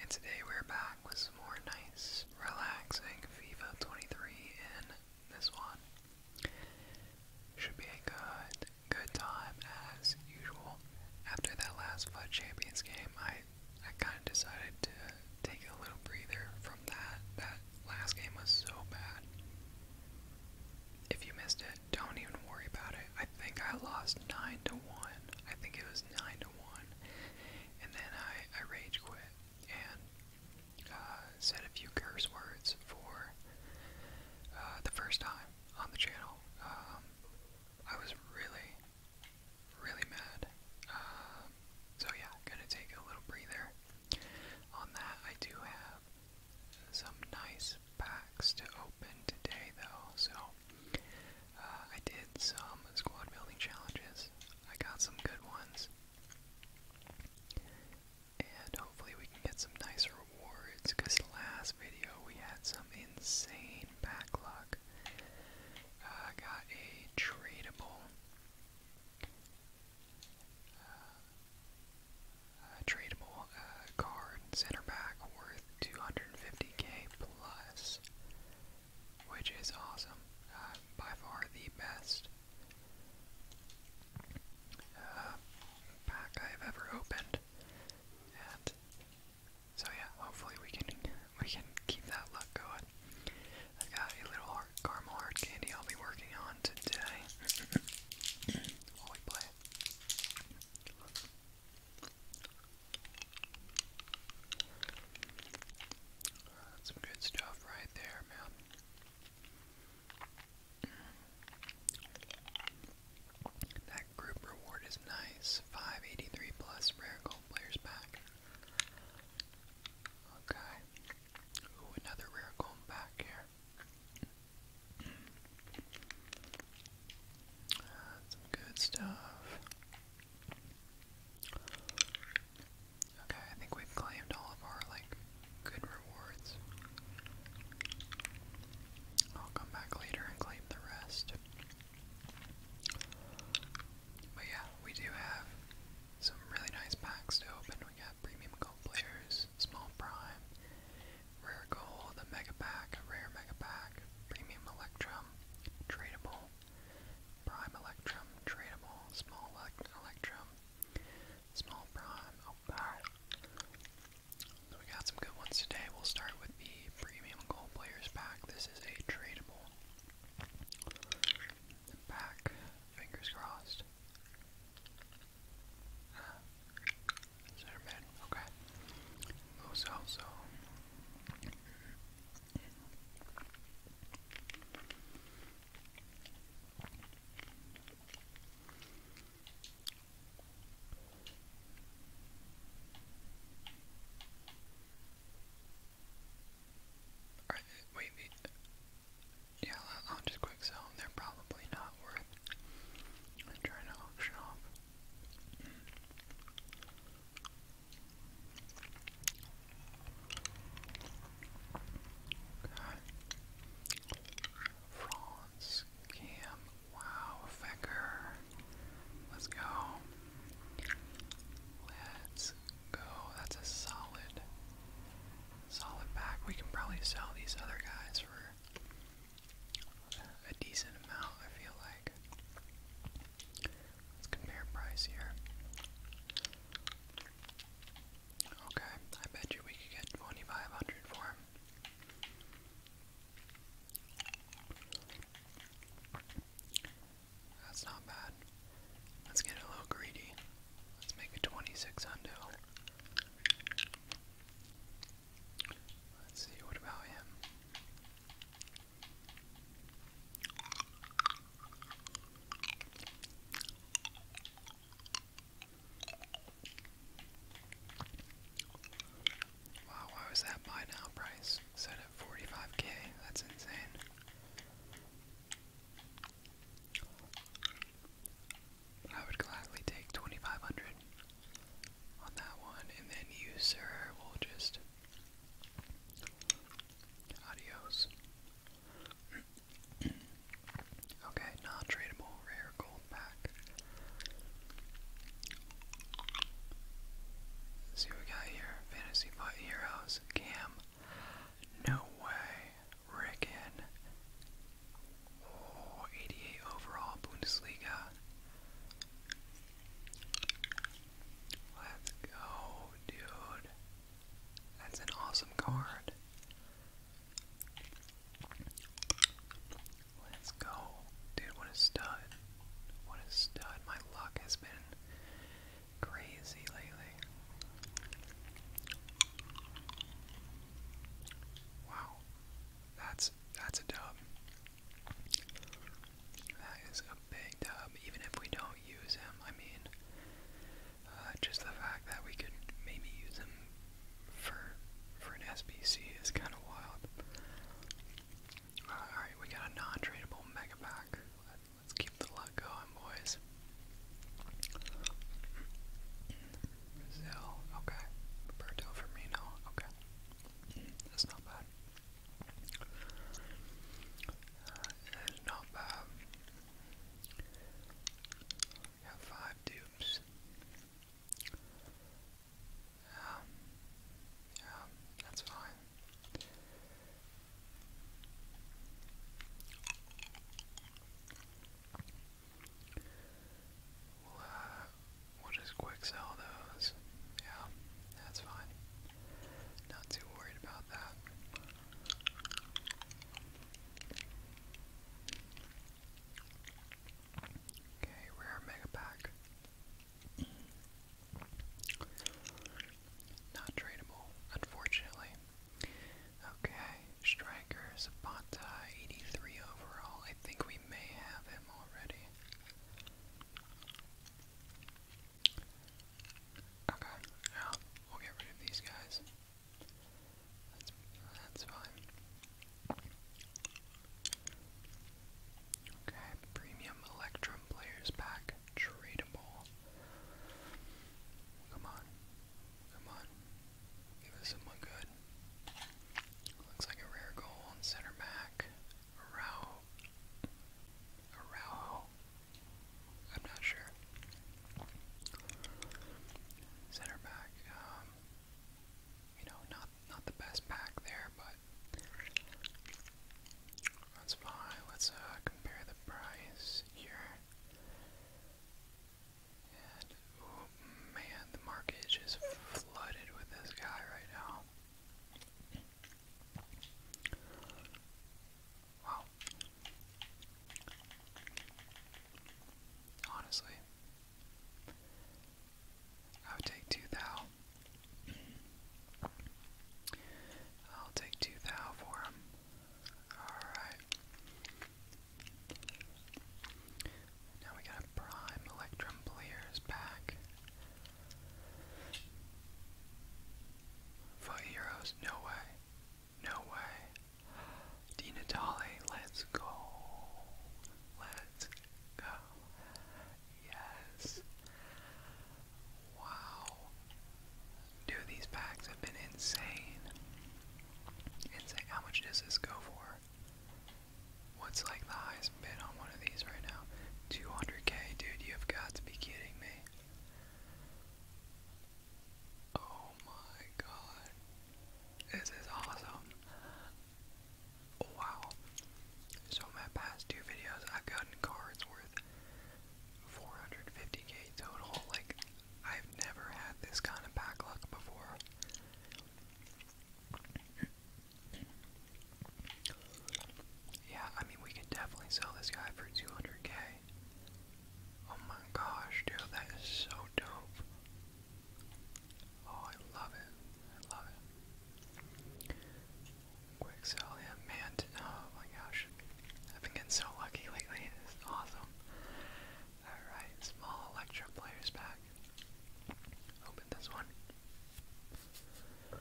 And today we're back with some more nice, relaxing FIFA 23 in this one. Should be a good, good time as usual. After that last FUD Champions game, I, I kind of decided to take a little breather from that. That last game was so bad. If you missed it, don't even worry about it. I think I lost 9 to 1. I think it was nine to one, and then I rage quit and uh, said a few curse words for uh, the first time on the channel. Um, I was really really mad. Um, so yeah, gonna take a little breather on that. I do have some nice packs to open today though, so uh, I did some squad building challenges. I got some good ones. And hopefully we can get some nice rewards, because last video we had some insane backlog. Uh, I got a tradable, uh, tradable uh, and center back worth 250k plus, which is awesome. Uh, by far the best uh, pack I've ever opened, so yeah, hopefully we can we can keep that luck going. i got a little heart, caramel heart candy I'll be working on today while we play some good stuff right there, man. That group reward is nice. 583 plus rare gold players back. Okay. Ooh, another rare gold back here. Some good stuff. Okay, I think we've claimed all of our like good rewards. I'll come back later and claim the rest. But yeah, we do have some really nice packs to open. We got premium gold players, small prime, Rare Gold, a Mega Pack, Rare Mega Pack, Premium Electrum, Tradable, Prime Electrum, Tradable, Small Electrum, Small Prime, oh wow. we got some good ones today. We'll start with the Premium Gold Players Pack. This is a tradable pack, fingers crossed okay. Who's oh, also All right, wait, Yeah, I'll, just quick sell them. They're probably not worth. i trying to auction off. Franz, Cam, wow, Fecker. Let's go. Let's go. That's a solid, solid pack. We can probably sell these other guys for a decent amount, I feel like. Let's compare price here. Okay, I bet you we could get 2500 for him. That's not bad. Let's get a little greedy. Let's make it 26 Let's see, what about him? Wow, why was that buy now price set at 45k? That's insane. I would gladly take 2500 on that one, and then you, sir, will just adios. okay, non tradable rare gold pack. see we got here. Fantasy Fight Heroes, Cam. No way. Rickon. 88 overall Bundesliga. Let's go, dude. That's an awesome card. Let's go. Dude, what a stud. What a stud. My luck has been crazy lately. Wow. That's that's a dub. That is a big dub, even if we don't use him. I mean, uh, just the fact that we could maybe use him for for an SBC is kind of wild. Uh, all right, we got a non-tradable mega pack. let's keep the luck going, boys. Brazil, okay. Roberto Firmino, okay. That's not bad. Uh, not bad. have five dupes. Um, yeah, that's fine. We'll, uh, we'll just quick sell those. Yeah, that's fine. Not too worried about that. Okay, rare mega pack. Not tradable, unfortunately. Okay, striker, Zapata, 83 overall. I think we may have him already. Okay, yeah, we'll get rid of these guys. That's, that's fine. Okay, premium Electrum players pack, tradable. Come on, come on, give us someone good. Looks like a rare goal on center back. Araujo. Araujo. I'm not sure. Center back. Um, you know, not not the best pack there, but that's fine. Let's uh, compare the price here. And oh man, the market is just flooded with this guy right now. Wow. Honestly, I would take two thou. I'll take two thou for him. Alright. Now we got a prime Electrum players back. Foot Heroes, no way. No way. Di Natale, let's go. Let's go. Yes. Wow. Dude, these packs have been insane. Insane. How much does this go for? What's like the highest bid on one of these right now? 200k, dude, you've got to be kidding me. Oh my god. This is awesome. Wow. So my past two videos I've gotten cards worth 450k total. Like I've never had this kind of back luck before. Yeah, I mean, we could definitely sell this guy for 200k. Oh my gosh, dude, that is so dope. Oh, I love it. I love it. Quick sell him, man. Oh my gosh. I've been getting so lucky lately. It's awesome. Alright, small Electro Players pack. Open this one. Oh,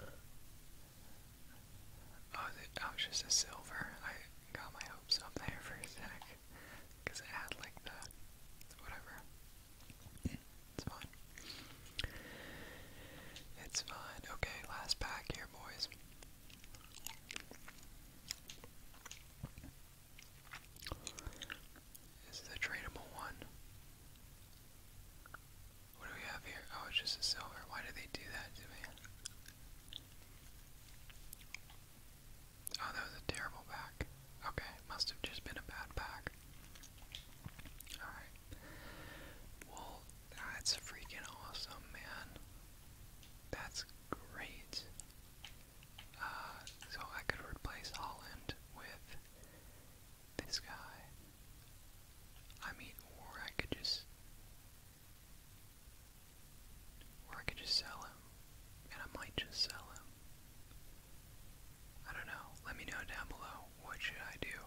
that oh, was just a silver. I got my hopes up there for a sec. Because it had like the whatever. It's fine. It's fine. Okay, last pack here, boys. This Is a tradable one? What do we have here? Oh, it's just a silver. Why did they do that to me? Oh, that was a terrible pack. Okay, must have just been a bad pack. Alright. Well, that's freaking awesome, man. That's great. Uh, so I could replace Holland with this guy. I mean, or I could just, or I could just sell him, and I might just sell him. I don't know. Let me know down below what should I do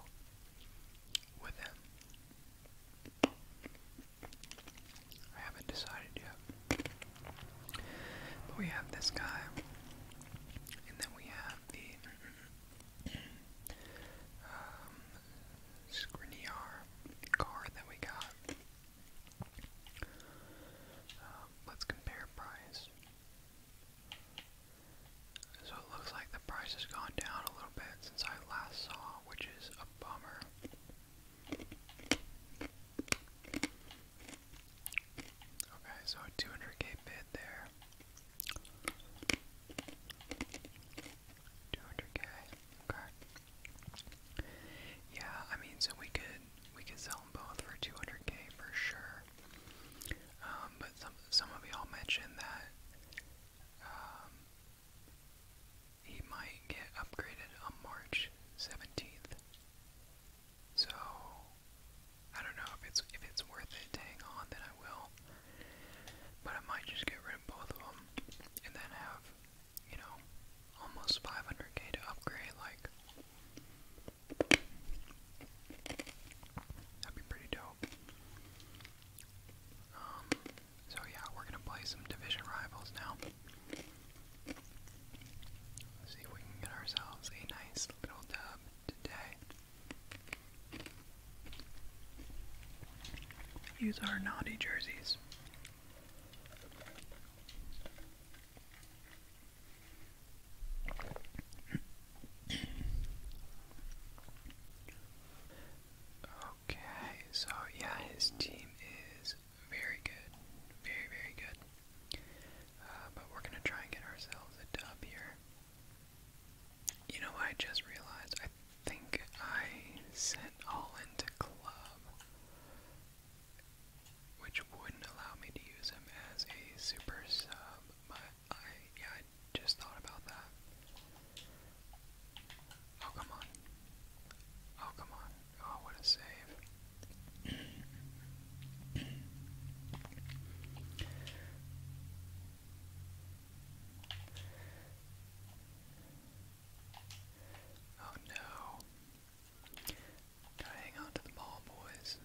with him. I haven't decided yet. But we have this guy, and then we have the Scriniar um, card that we got. Um, let's compare price. So it looks like the price has gone down a little bit since I last saw, which is a bummer. Okay, so 200k bid there. 200k. Okay. Yeah, I mean, so we could we could sell them both for 200k for sure. Um, but some some of y'all mentioned that um, he might get upgraded on March 17th. So I don't know if it's if it's worth it to hang on, then I will. But I might just get rid of both of them and then have, you know, almost 500k to upgrade. Like that'd be pretty dope. Um. So yeah, we're gonna play some division rivals now see if we can get ourselves a nice little dub today. Use our naughty jerseys. Okay, so yeah, his team is very good. Very, very good. Uh, but we're going to try and get ourselves a dub here. You know I just realized? I think I sent all into club, which wouldn't allow me to use him as a super sub, but I, yeah, I just thought about that. Oh, come on. Oh, come on. Oh, what a save. oh no. hang on to the ball, boys.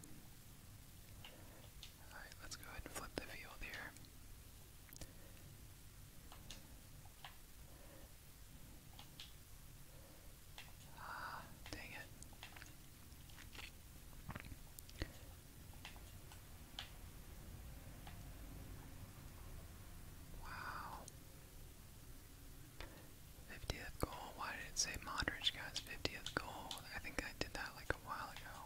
Alright, let's go ahead and flip the field here. Ah, dang it. Wow. 50th goal. Why did it say Modric guys? 50th goal. I think I did that like a while ago.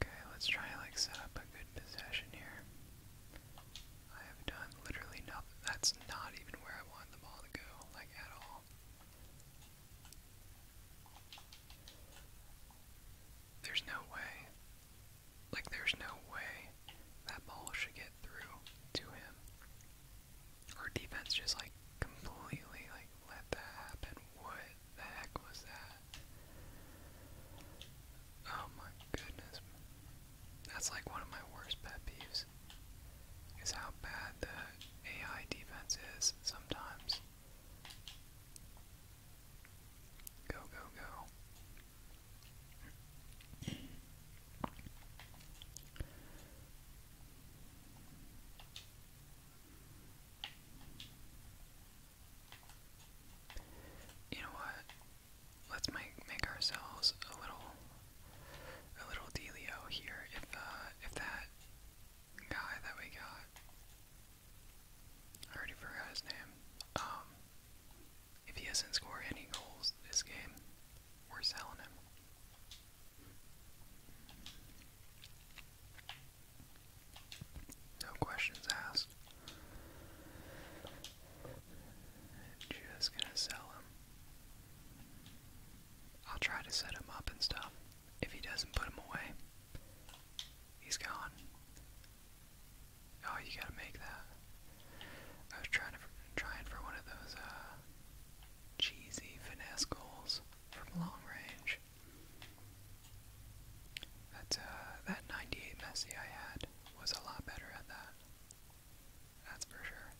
Okay, let's try like set up a good possession here. I have done literally nothing. That's not even where I want the ball to go, like at all. There's no way. Like there's no way that ball should get through to him. Our defense just like completely like let that happen. What the heck was that? Oh my goodness. That's like one of my worst pet peeves. Is how bad the AI defense is sometimes. Go, go, go. You know what? Let's make make ourselves a little a little dealio here. If uh, if that guy that we got, I already forgot his name. Um, if he has not scored any goals this game, we're selling him. No questions asked. Just gonna sell him. I'll try to set him up and stuff. If he doesn't put him away, he's gone. Oh, you gotta make that. I was trying to trying for one of those uh, cheesy finesse goals from long range. That, uh, that 98 Messi I had was a lot better at that. That's for sure.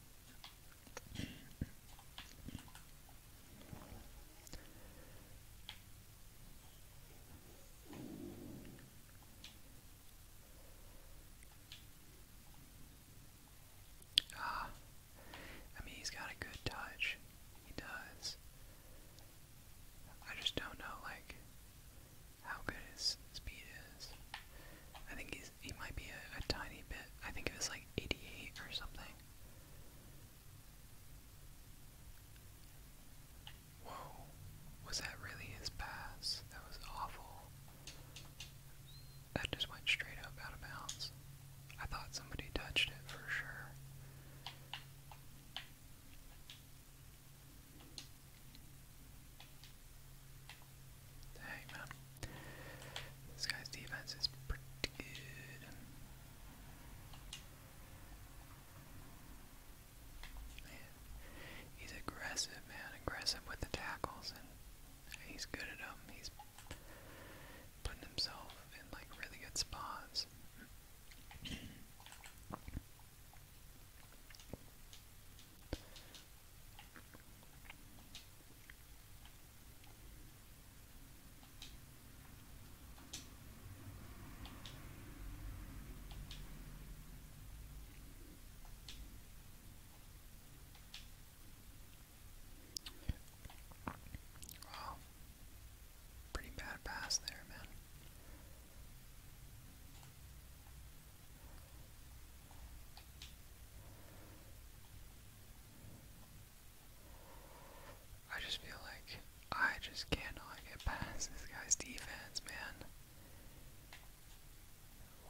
Ah, I mean, he's got a good touch. He does. I just don't know, like, how good his speed is. I think he's he might be a, tiny bit. I think it was like 88 or something. Whoa, was that really his pass? That was awful. That just went straight up out of bounds. I thought somebody touched it for sure. Hey man, this guy's defense is pretty good. Man, he's aggressive, man, aggressive with the tackles, and he's good at them. He's putting himself in like really good spots. Wow. Pretty bad pass there, man. I just feel like I just cannot get past this guy's defense, man.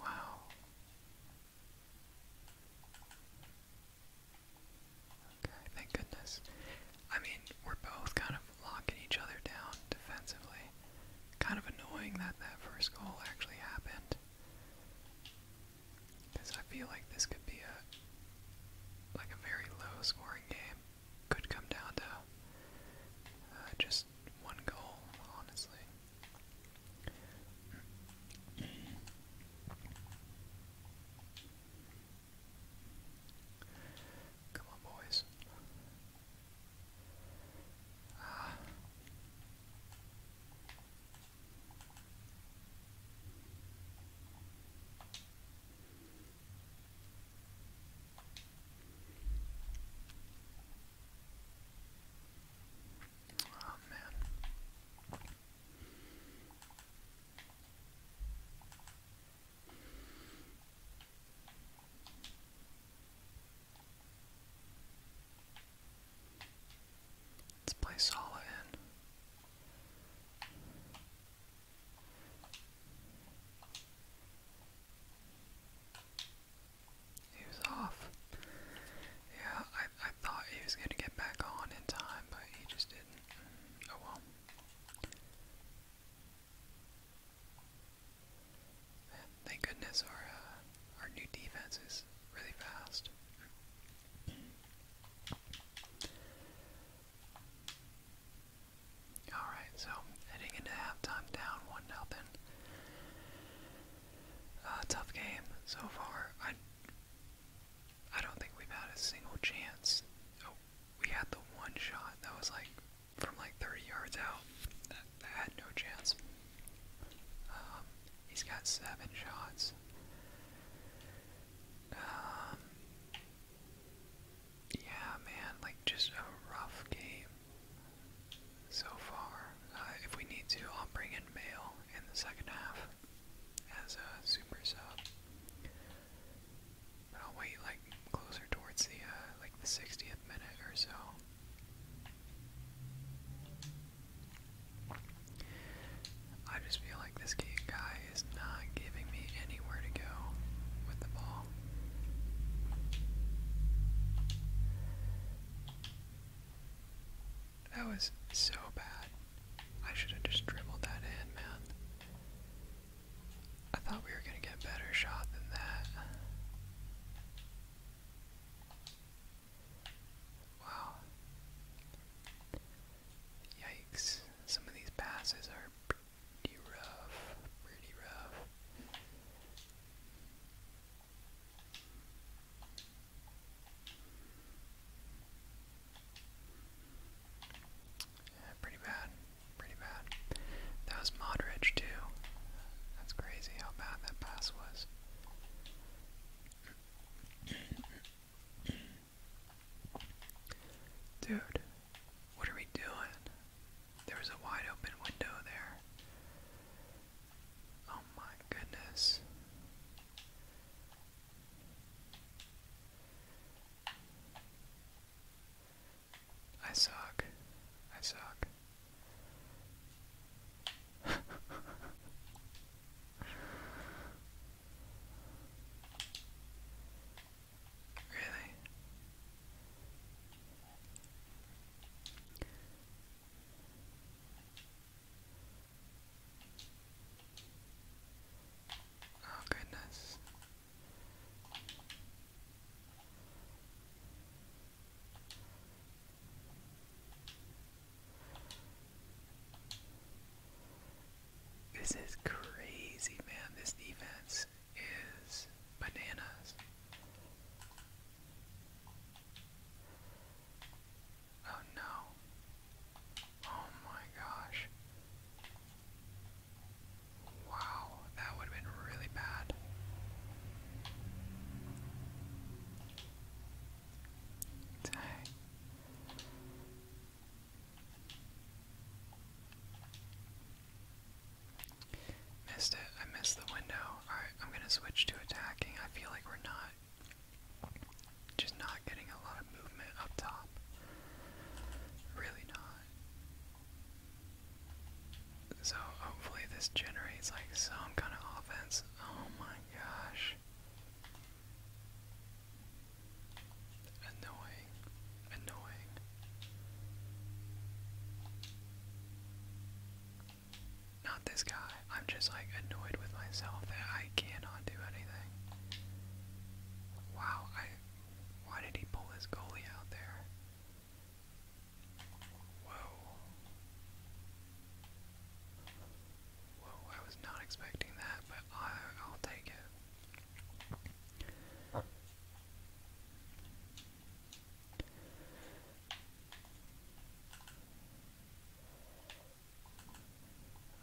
Wow. Okay, thank goodness. I mean, we're both kind of locking each other down defensively. Kind of annoying that that first goal actually happened. Because I feel like this could be a like a very low scoring game. Could come down to uh, just one goal, honestly. Come on, boys. Ah. Oh man. Let's play Sala in. He was off. Yeah, I, I thought he was gonna get back on in time, but he just didn't. Oh well. thank goodness our uh, our new defense is really fast. Alright, so heading into halftime down one nothing. Uh, tough game so far. I don't think we've had a single chance. Oh, we had the one shot that was like from like 30 yards out. That, had no chance. Um, he's got seven shots. Um, yeah, man, like just a rough game so far. Uh, if we need to, I'll bring in Mail in the second half as a super sub. But I'll wait like closer towards the uh, like the 60th minute or so. I just feel like this guy is not giving me anywhere to go with the ball. That was so bad. I should have just dribbled that in, man. I thought we were going to get a better shot than that. Wow. Yikes. Some of these passes are pretty rough. Pretty rough. Yeah, pretty bad. Pretty bad. That was Modric too. That's crazy how bad that pass was. Dude, what are we doing? There was a wide open window there. Oh my goodness. I suck. I suck. really? Oh, goodness. This is crazy, man. This defense is bananas. Oh no. Oh my gosh. Wow, that would have been really bad. Dang. Missed it. I missed the window. Alright, I'm gonna switch to attacking. I feel like we're not just not getting a lot of movement up top. Really not. So hopefully this generates like some kind of offense. Oh my gosh. Annoying. Annoying. Not this guy. I'm just like annoyed with myself that I cannot do anything. Wow, why did he pull his goalie out there? Whoa. Whoa, I was not expecting that, but I'll take it.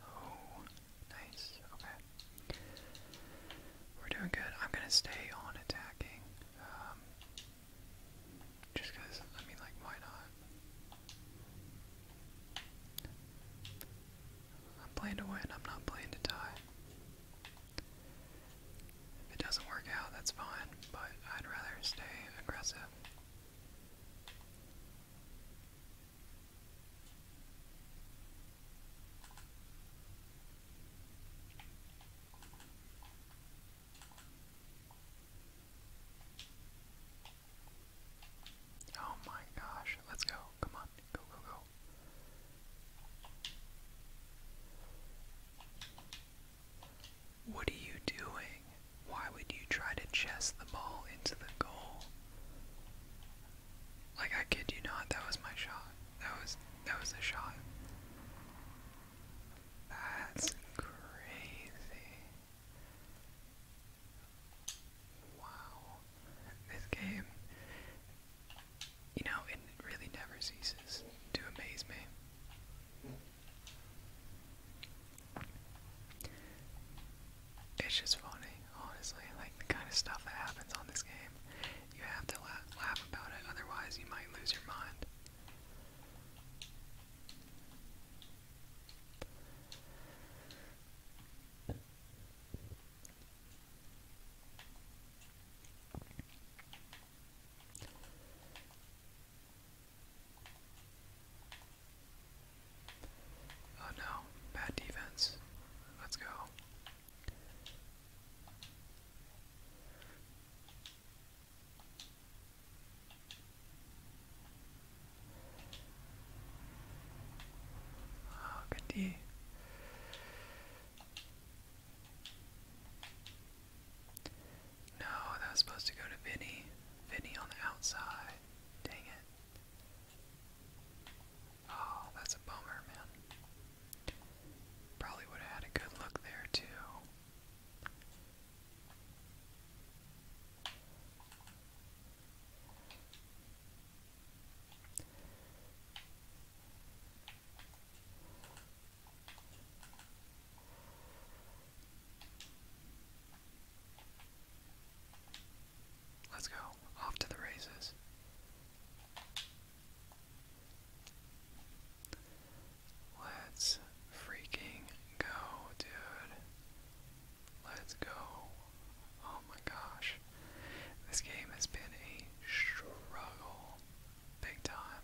Oh, nice. Okay. We're doing good. I'm gonna stay on attacking. Um, just because, I mean, like, why not? I'm playing to win, I'm not playing to die. If it doesn't work out, that's fine, but I'd rather stay aggressive. Oh my gosh, let's go. Come on. Go, go, go. What are you doing? Why would you try to chest the ball into the goal? Like I kid you not, that was my shot. That was that was a shot. That's crazy. Wow. This game you know, it really never ceases to amaze me. It's just funny, honestly, like the kind of stuff that happens on this game. You have to laugh about it, otherwise, you might lose your mind. Oh no, bad defense. Let's go. Oh, good D. No, that was supposed to go to Vinny. Vinny on the outside. Dang it. Oh, that's a bummer, man. Probably would have had a good look there, too. Let's go. Off to the races. Let's freaking go, dude. Let's go. Oh my gosh. This game has been a struggle big time.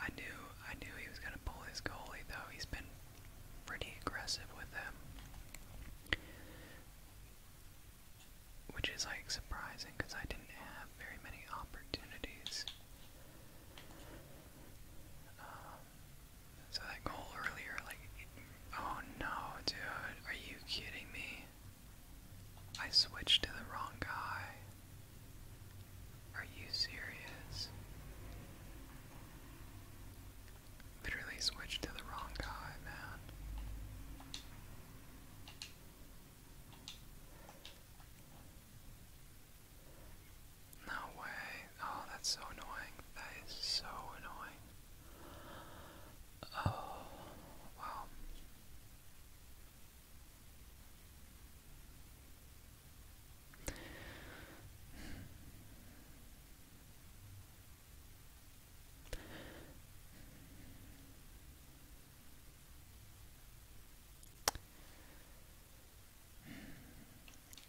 I knew I knew he was gonna pull his goalie though. He's been pretty aggressive with them, which is like surprising because I didn't have very many opportunities. Um, so that goal earlier, like, oh no, dude, are you kidding me? I switched to the wrong guy. Are you serious? Literally switched to the wrong guy, No way. Oh, that's so annoying. That is so annoying. Oh, wow.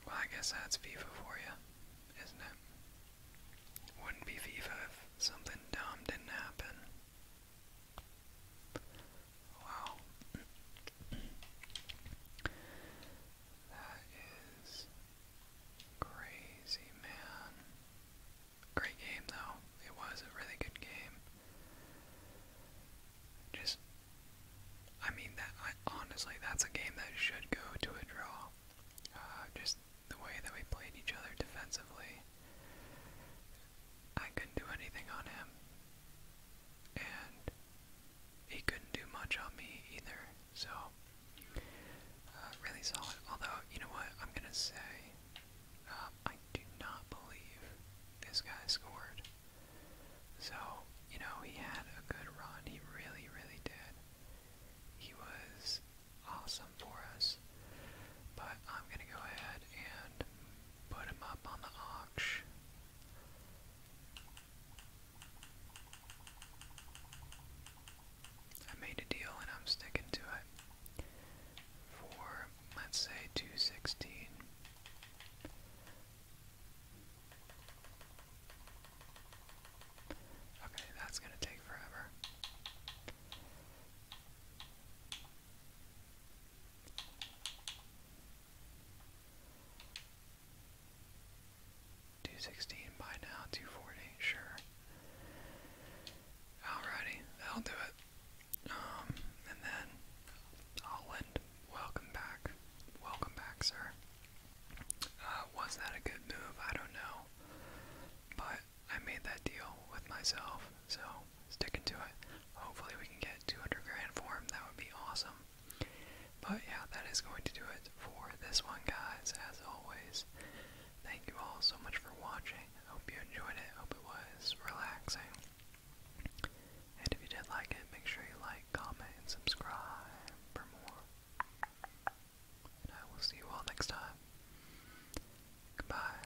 Well, I guess that's FIFA for you, isn't it? Wouldn't be FIFA if something dumb didn't happen. Wow. that is crazy, man. Great game, though. It was a really good game. Just, I mean, that honestly, that's a game that should go to a draw. Uh, just the way that we played each other defensively. I couldn't do anything on him and he couldn't do much on me either. So uh, really solid. Although you know what, I'm gonna say uh, I do not believe this guy scored. So you know he had a good run. He really, really did. He was awesome for us. But I'm gonna go ahead and put him up on the I made a deal and I'm sticking to it. For let's say two sixteen. Okay, that's gonna take forever. 216 by now, 240, sure. Alrighty, that'll do it. Um, and then, Holland, welcome back. Welcome back, sir. Uh, was that a good move? I don't know. But I made that deal with myself, so sticking to it. Hopefully, we can get 200 grand for That would be awesome. But yeah, that is going to do it for this one, guys. As always, thank you all so much for watching. hope you enjoyed it. hope it was relaxing. And if you did like it, make sure you like, comment, and subscribe for more. And I will see you all next time. Goodbye.